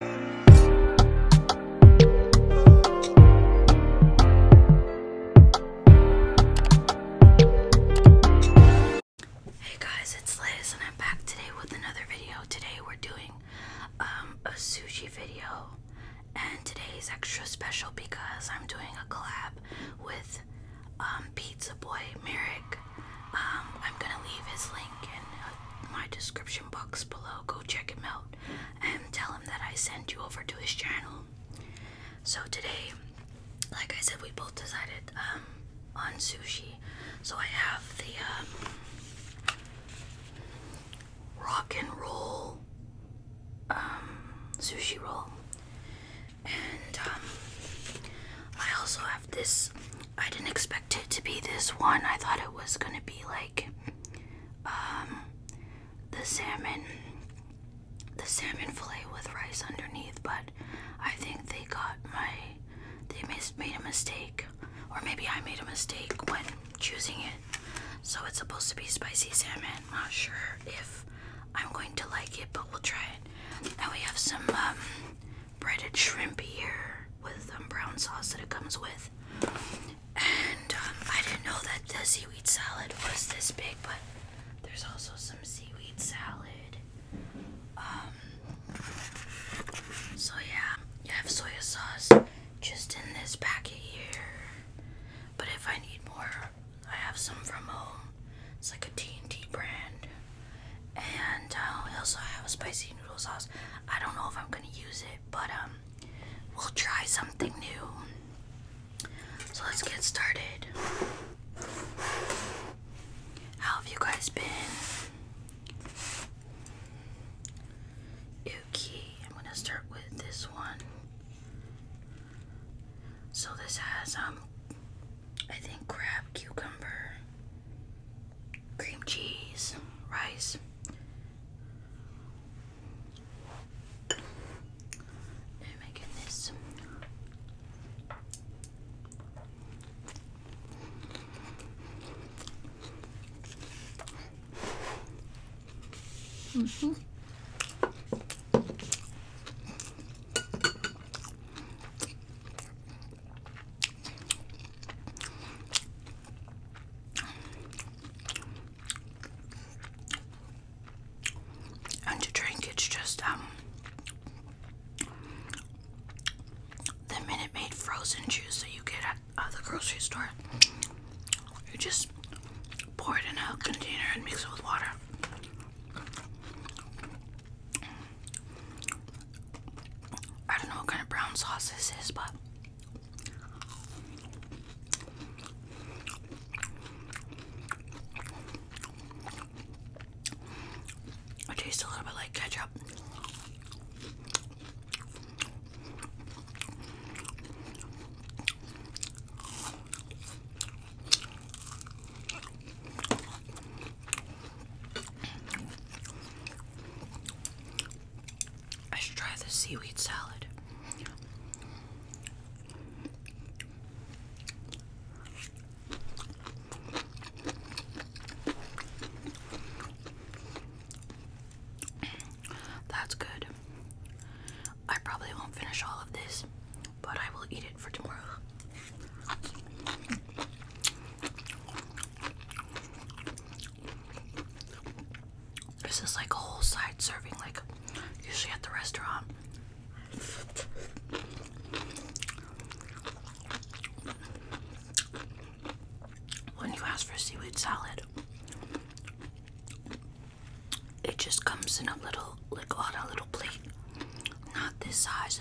Hey guys, it's Liz and I'm back today with another video. Today we're doing um, a sushi video and today is extra special because I'm doing a collab with um, Pizza Boy Merrick. Um, I'm gonna leave his link in uh, my description box below. Go check him out and tell him that I sent you over to his channel. So today, like I said, we both decided um, on sushi. So I have the um, rock and roll um, sushi roll, and I also have this. I didn't expect it to be this one. I thought it was gonna be like um, the salmon the salmon fillet with rice underneath, but I think they got my they made a mistake or maybe I made a mistake when choosing it. So it's supposed to be spicy salmon. not sure if I'm going to like it, but we'll try it. And we have some um, breaded shrimp here with um brown sauce that it comes with. And um, I didn't know that the seaweed salad was this big, but there's also some seaweed salad. Um, so yeah, you have soy sauce just in this packet here. But if I need more, I have some from home. It's like a T brand. And uh, also I have a spicy noodle sauce. I don't know if I'm gonna use it but um, we'll try something new. So let's get started. How have you guys been? Okay, I'm gonna start with this one. So this has um, I think crab, cucumber, cream cheese, rice. Now making this. Mm -hmm. And to drink, it's just um the Minute Maid frozen juice that you get at the grocery store. You just pour it in a container and mix it with water. I don't know what kind of brown sauce this is, but it tastes a little bit like ketchup. I should try the seaweed salad. That's good. I probably won't finish all of this, but I will eat it for tomorrow. This is like a whole side serving, like usually at the restaurant. When you ask for seaweed salad, it just comes in a little, like on a little plate, not this size.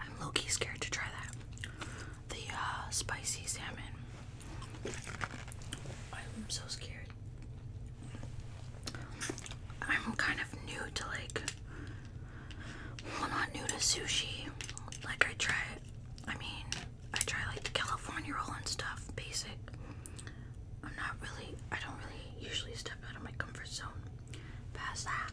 I'm low key scared to try that. The uh, spicy salmon. I'm so scared. I'm kind of new to like, well, not new to sushi. Like, I try, I mean, I try like the California roll and stuff, basic. I'm not really, I don't really usually step out of my comfort zone past that.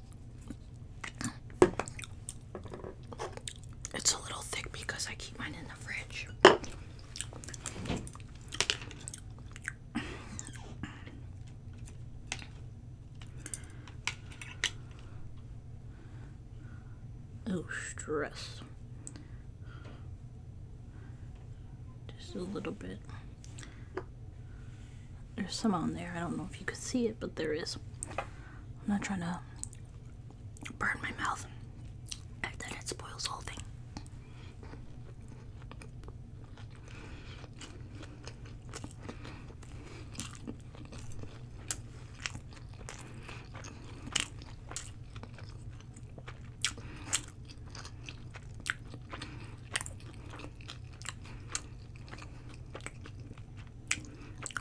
It's a little thick because I keep mine in the fridge. Oh, stress. Just a little bit. There's some on there. I don't know if you could see it, but there is. I'm not trying to burn my mouth. And then it spoils the whole thing.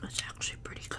That's actually pretty good.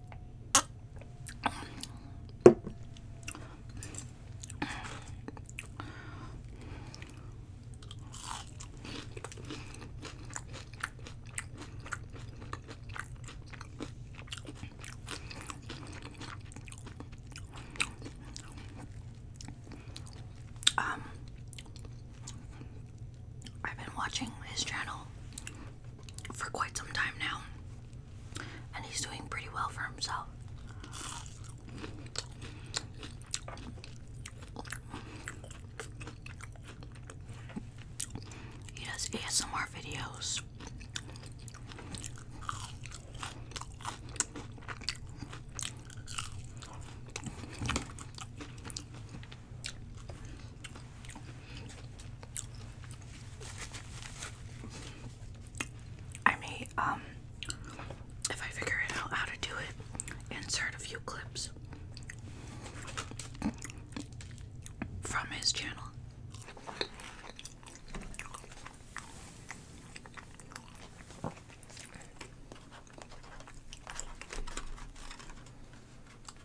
Um I've been watching his channel for quite some time now, and he's doing pretty well for himself. He does ASMR videos. I may, um, if I figure it out how to do it, insert a few clips from his channel.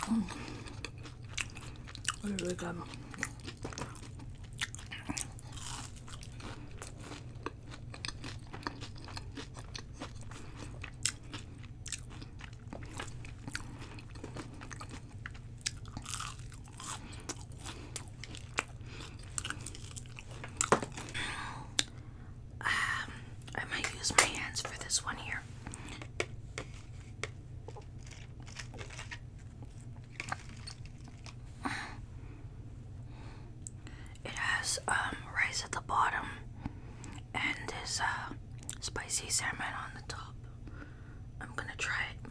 Mm. Really good. Um, I might use my hands for this one here. It has um, rice at the bottom and this uh, spicy salmon on the top. I'm gonna try it.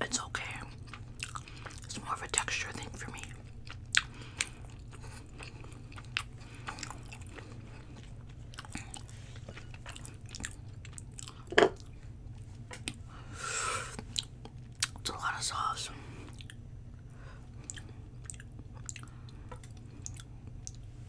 It's okay. It's more of a texture thing for me. It's a lot of sauce.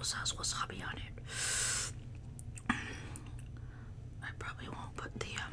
This has wasabi on it. I probably won't put the um,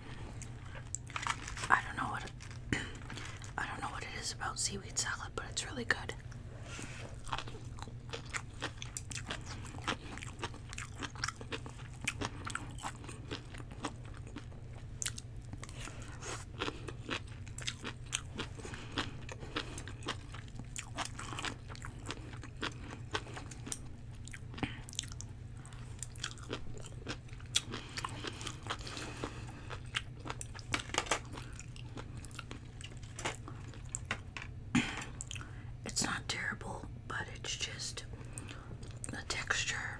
I don't know what I don't know what it is about seaweed salad, but it's really good. It's not terrible, but it's just the texture.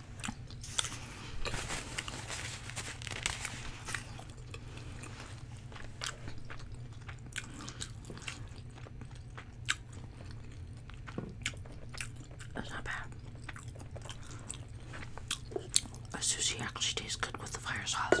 That's not bad. The sushi actually tastes good with the fire sauce.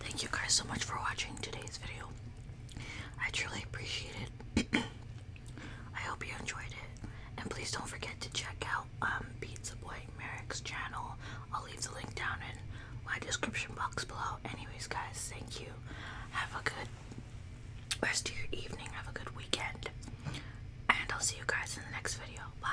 Thank you guys so much for watching today's video. I truly appreciate it. I hope you enjoyed it. And please don't forget to check out um, Pizza Boy Merrick's channel. I'll leave the link down in my description box below. Anyways, guys, thank you. Have a good rest of your evening. Have a good weekend. And I'll see you guys in the next video. Bye.